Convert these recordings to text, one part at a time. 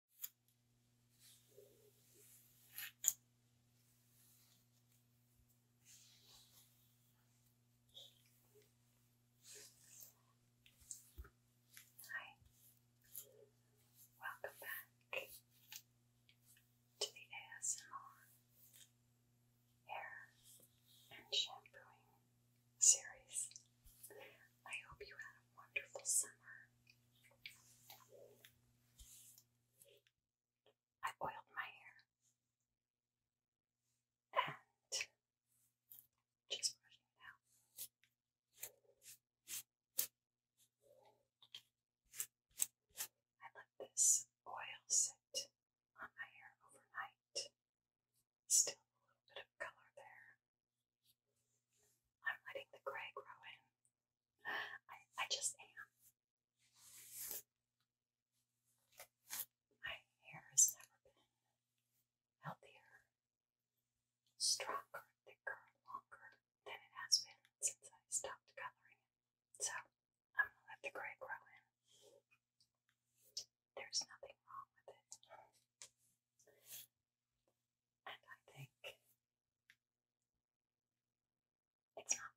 Hi, welcome back to the ASMR Hair and Shampooing series. I hope you had a wonderful summer. I oiled my hair and just brushing it out. I let this oil sit on my hair overnight. Still a little bit of color there. I'm letting the gray grow in. I, just am. My hair has never been healthier, stronger, thicker, longer than it has been since I stopped coloring it. So I'm gonna let the gray grow in. There's nothing wrong with it. And I think it's not bad.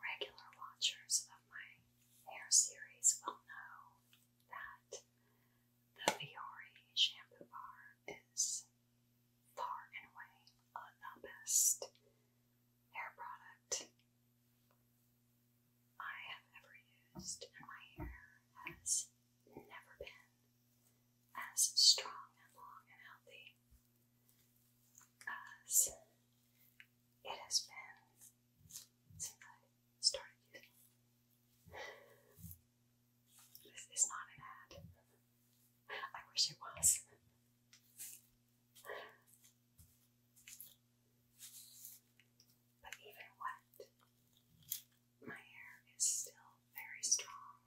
Regular watchers of my hair series will know that the Fiori shampoo bar is far and away the best hair product I have ever used, and my hair has never been as strong and long and healthy as it has been since I started using This is not an ad. I wish it was. But even wet, my hair is still very strong.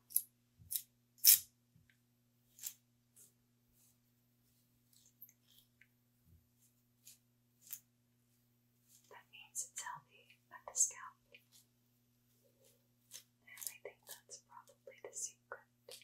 That means it's healthy at the scalp. And I think that's probably the secret.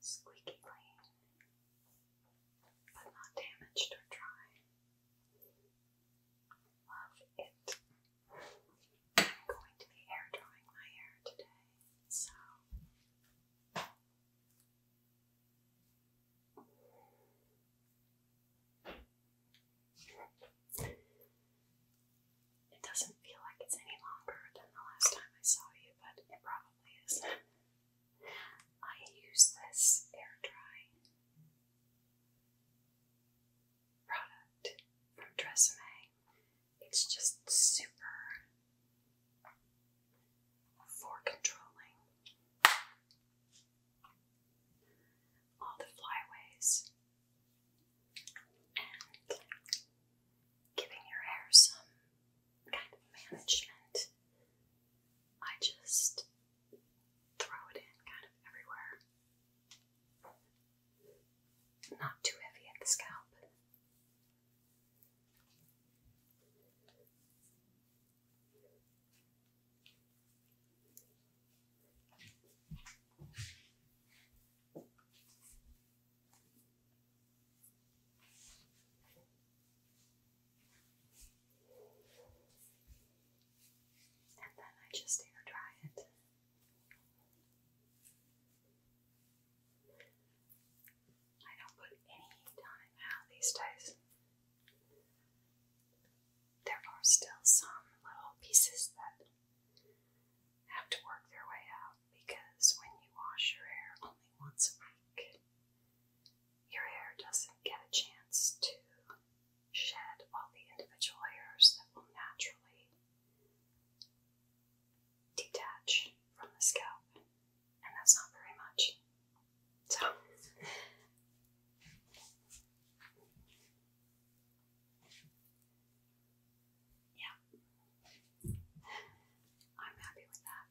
Squeaky clean, but not damaged or dry. Love it. I'm going to be hair drying my hair today, so it doesn't feel like it's any longer than the last time I saw you, but it probably is. I use this air dry product from Tresemme it's just super for controlling all the flyways and giving your hair some kind of management. I just throw it in kind of everywhere. Not too heavy at the scalp. And then I just air dry it. I don't put any heat on these days. There are still some little pieces that have to work their way out because when you wash your hair only once a week, your hair doesn't get a chance to shed all the individual hairs that will naturally detach from the scalp, and that's not very much. So, yeah, I'm happy with that.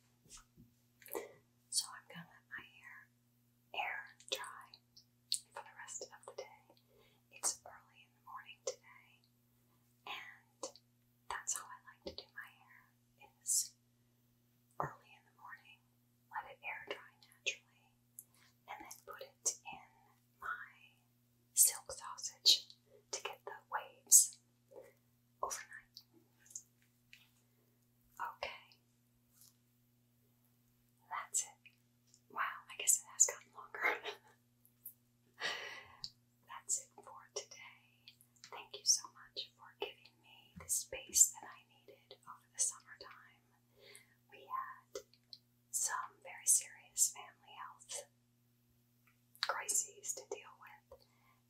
So, I'm gonna let my hair air dry for the rest of the day. It's early in the morning today. And that's how I like to do my hair is early in the morning, let it air dry naturally, and then put it in my silk sausage to get the waves overnight. Okay. That's it. Wow, I guess it has gotten longer. that's it for today. Thank you so much for giving me the space that I needed over the summertime. We had some very serious family health crises to deal with,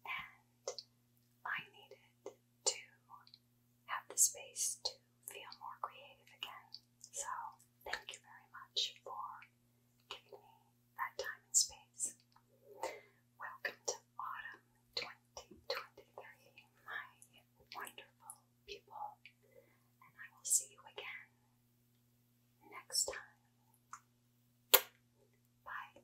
and I needed to have the space to feel more creative again. So, thank you very much for giving me that time and space. Welcome to Autumn 2023, my wonderful people, and I will see you again next time. Bye.